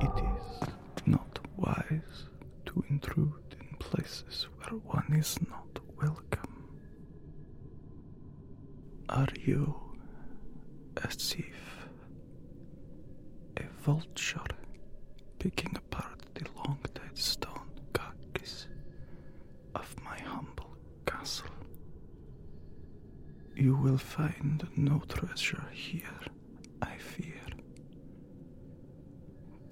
It is not wise to intrude in places where one is not welcome. Are you a thief? A vulture picking apart the long dead stone carcass of my humble castle? You will find no treasure here, I fear.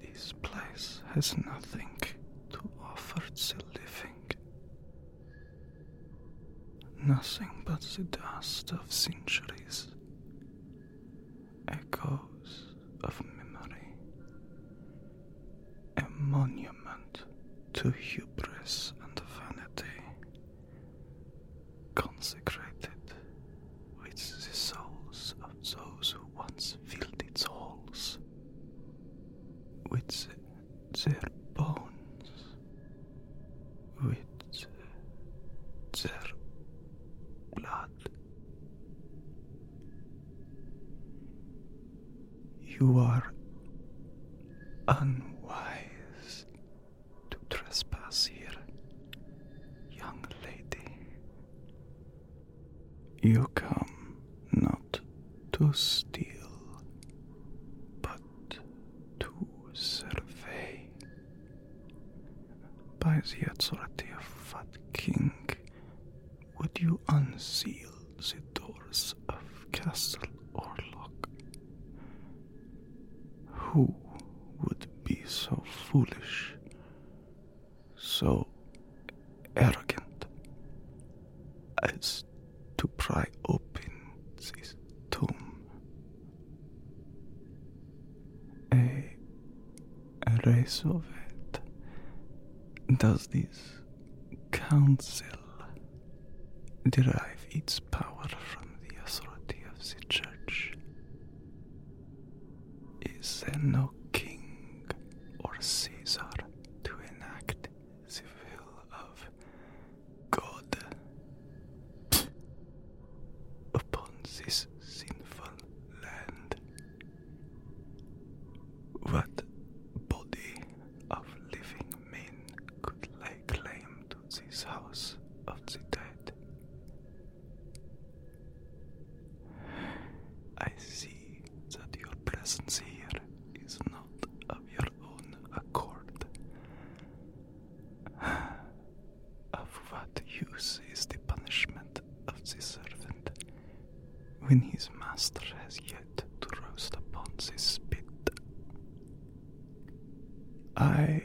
This place has nothing to offer to the living. Nothing but the dust of centuries, echoes of memory, a monument to hubris and vanity, consecrated with the souls of those who once filled its halls with their bones with their blood. You are unwise to trespass here, young lady. You come not to steal, but to survey. By the authority of Fat King, would you unseal the doors of Castle Orlok? Who would be so foolish, so arrogant as to pry open this tomb. A race does this council derive its power from the authority of the church? Is there no king or Caesar to enact the will of God upon this sinful land. What body of living men could lay claim to this house of the dead? I see that your presence here is not of your own accord. Of what use is the punishment of the servant when his master has yet to roast upon the spit? I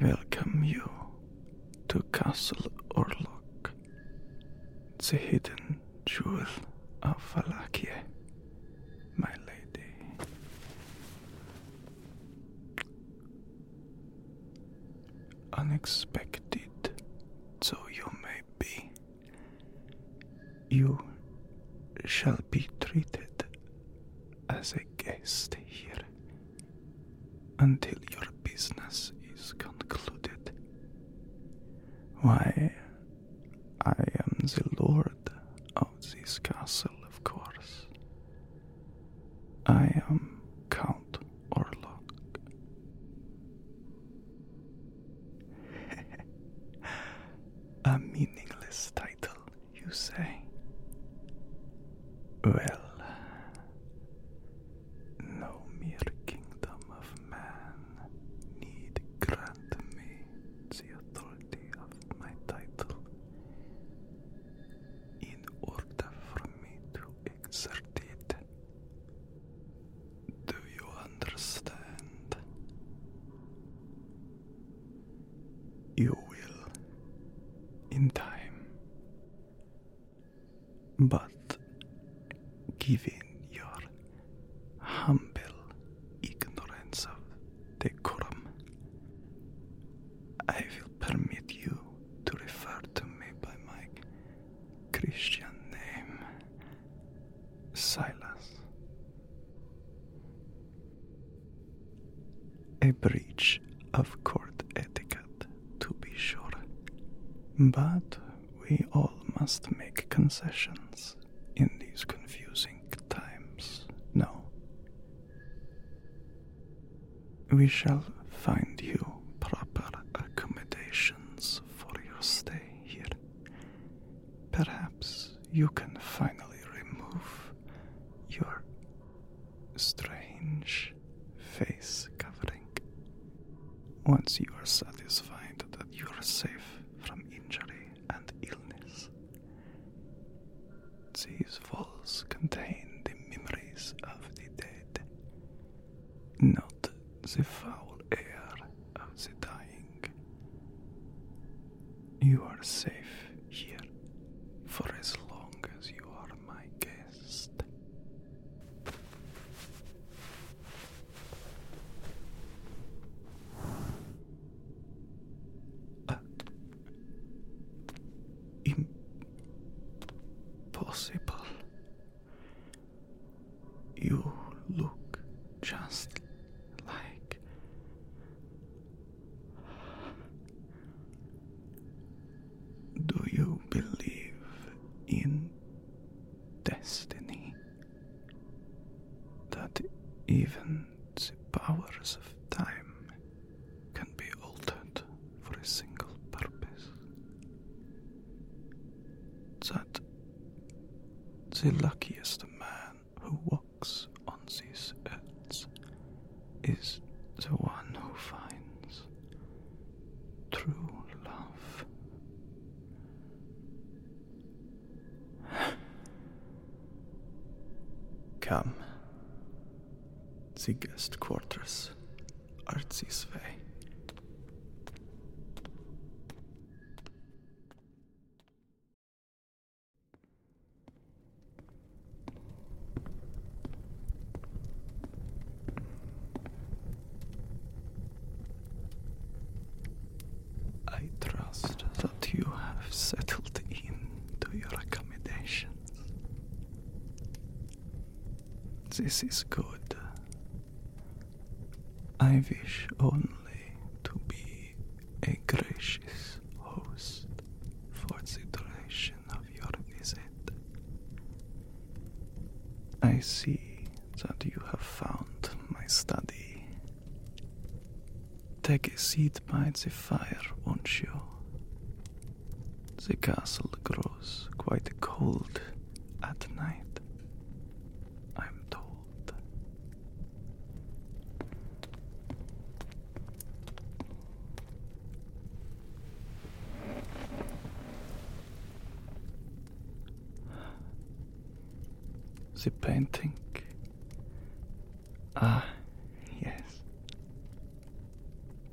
welcome you to Castle Orlok. Rock, the hidden jewel of Valakia, my lady. Unexpected so you may be, you shall be treated as a guest here until your business is concluded why, I am the lord of this castle, of course. I am Count Orlok. A meaningless title, you say? Well, no mere kingdom of man need grant me the authority of my title. In order for me to exert it. Do you understand? You will, in time but given your humble ignorance of decorum, I will permit you to refer to me by my Christian name, Silas. A breach of court etiquette to be sure. But we all must make concessions in these confusing times, no? We shall find you proper accommodations for your stay here. Perhaps you can finally remove your strange face covering. Once you are satisfied that you are safe from injury and illness, these walls contain the memories of the dead, not the foul air of the dying. You are safe here for as long as you are my guest. impossible. You look just like do you believe in destiny? That even the powers of time can be altered for a single purpose? That the luckiest man who walks on these earth is the one who finds true love. Come, the guest quarters are this way. I trust that you have settled in to your accommodations. This is good. I wish only to be a gracious host for the duration of your visit. I see that you have found my study. Take a seat by the fire, won't you? The castle grows quite cold at night, I'm told. The painting. Ah, yes.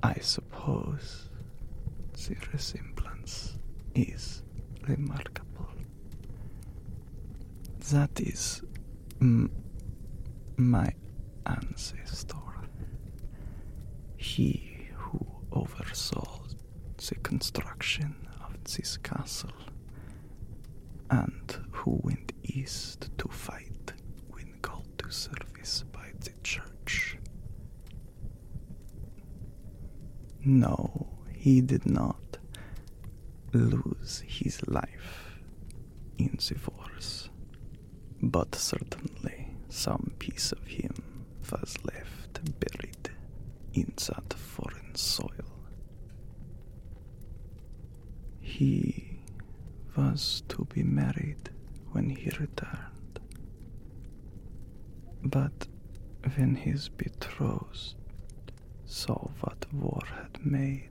I suppose the resemblance is remarkable. That is my ancestor, he who oversaw the construction of this castle, and who went east to fight when called to service by the church. No, he did not lose his life in the force. But certainly some piece of him was left buried in that foreign soil. He was to be married when he returned. But when his betrothed saw what war had made,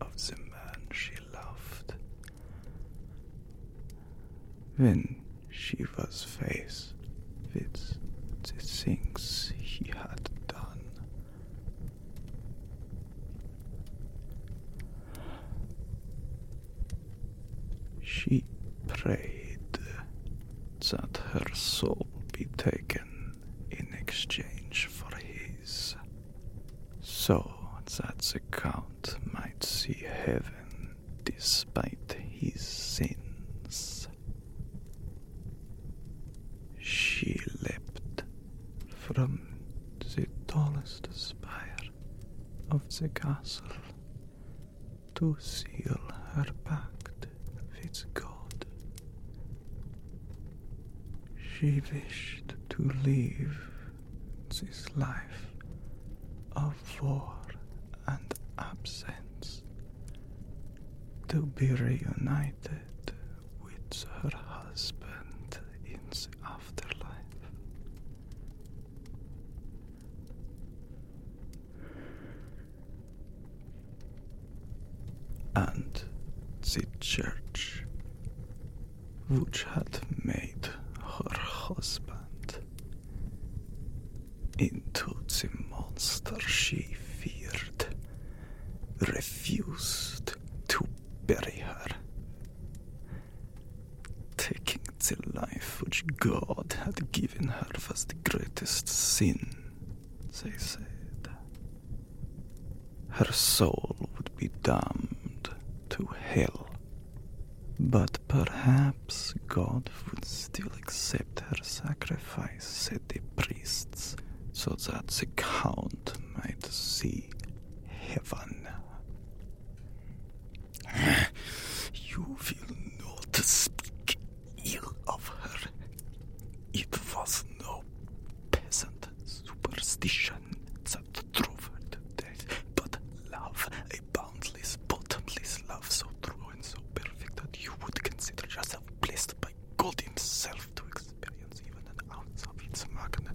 of the man she loved. When she was faced with the things he had done, she prayed that her soul be taken in exchange for his so that the Count might see heaven despite his sins. She leapt from the tallest spire of the castle to seal her pact with God. She wished to leave this life of war and absence, to be reunited with her husband in the afterlife and the church which had made her husband into the monster she feared, refused to bury her, taking the life which God had given her was the greatest sin they said. Her soul would be damned to hell. But perhaps God would still accept her sacrifice, said the priests, so that the Count might see heaven. you will not speak ill of her. It was no peasant superstition that drove death, but love, a boundless, bottomless love, so true and so perfect that you would consider yourself blessed by God Himself to experience even an ounce of its magnitude.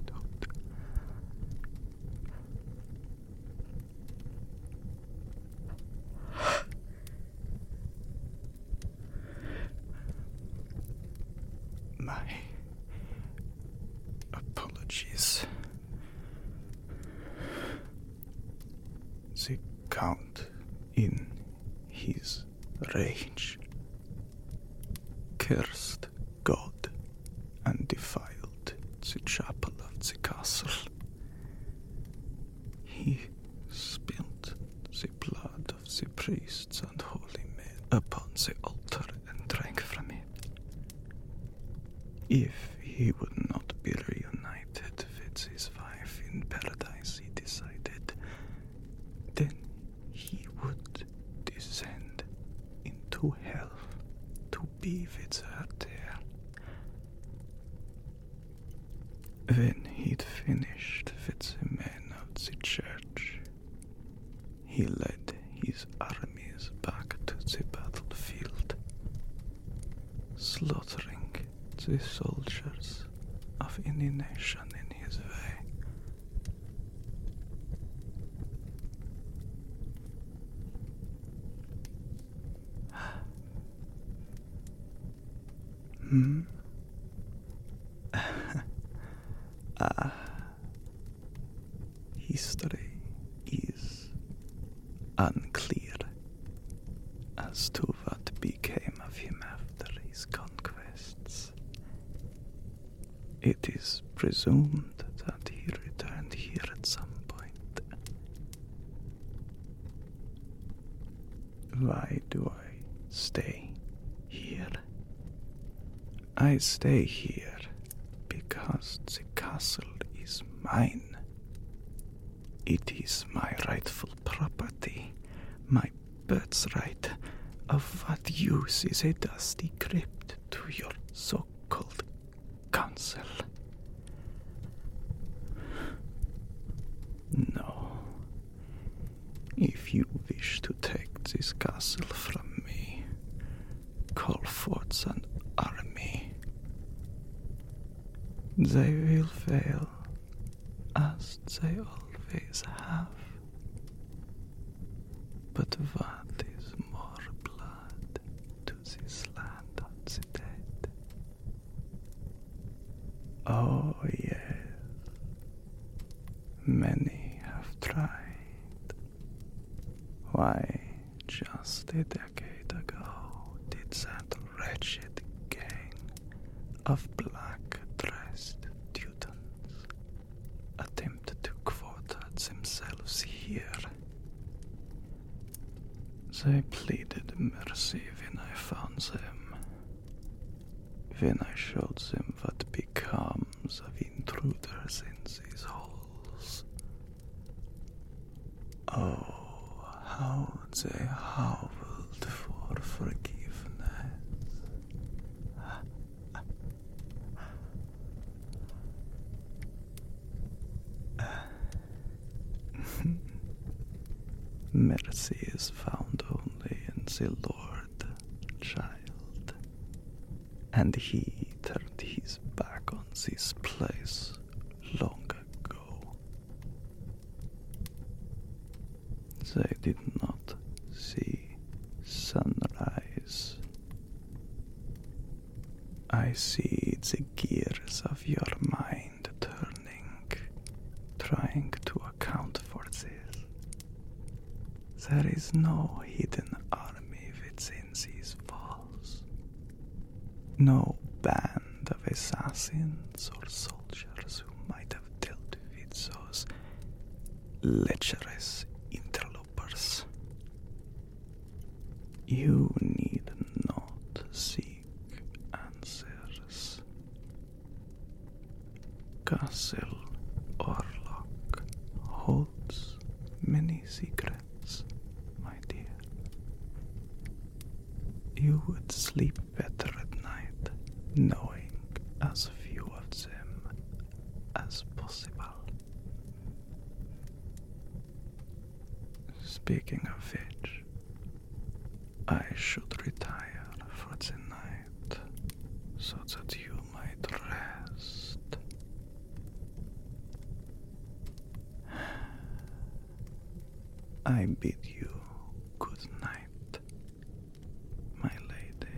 My apologies. The Count, in his rage, cursed God and defiled the chapel of the castle. He spilled the blood the priests and holy men upon the altar and drank from it. If he would not be reunited with his wife in paradise, he decided, then he would descend into hell to be with her there. When he'd finished with the men out the church, he led his armies back to the battlefield, slaughtering the soldiers of any nation in his way. Hmm? Ah. History is unclear as to what became of him after his conquests. It is presumed that he returned here at some point. Why do I stay here? I stay here because the castle is mine. It is my rightful property, my birthright. Of what use is a dusty crypt to your so called council? No, if you wish to take this castle from me, call forth an army. They will fail, as they always have. But what is more blood to this land of the dead Oh, yes, many have tried. Why, just a decade ago, did that wretched gang of black dressed Teutons attempt to quarter themselves here? They pleaded mercy when I found them. When I showed them what becomes of intruders in these halls. Oh, how they howled for forgiveness. Mercy is found only in the Lord, child. And he turned his back on this place long ago. They did not see sunrise. I see the gears of your mind turning, trying to account for this. There is no hidden army within these walls, no band of assassins or soldiers who might have dealt with those lecherous interlopers. You need not see answers. Castle Orlok holds many secrets, my dear. You would sleep better at night knowing as few of them as possible. Speaking of which, I should retire for the night so that you might rest. I bid you good night, my lady.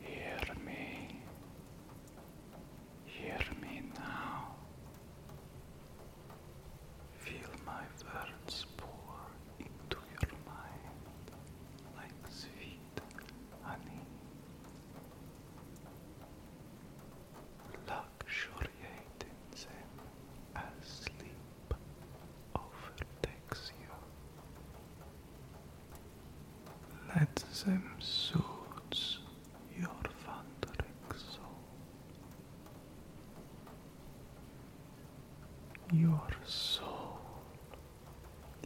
Hear me. Hear me now. Feel my words pour into your mind like sweet honey. Luxuriate same as sleep overtakes you. Let them soothe your wandering soul. Your soul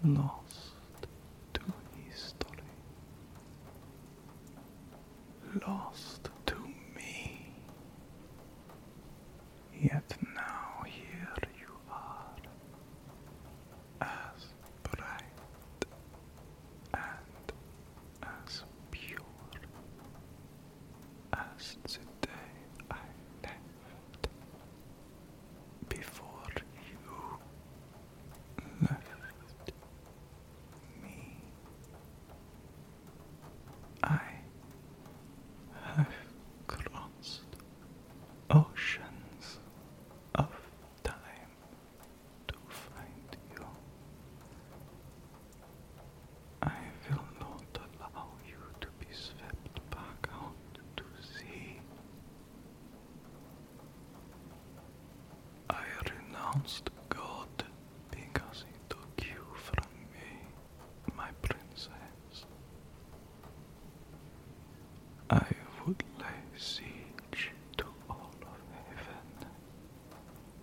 lost to history, lost to me. Yet now here you are, as bright and as pure as the day I left. Before you left me. I have crossed oceans of time to find you. I will not allow you to be swept back out to sea. I renounced God because he took you from me, my princess. I would lay siege to all of heaven.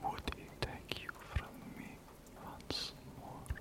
Would he take you from me once more?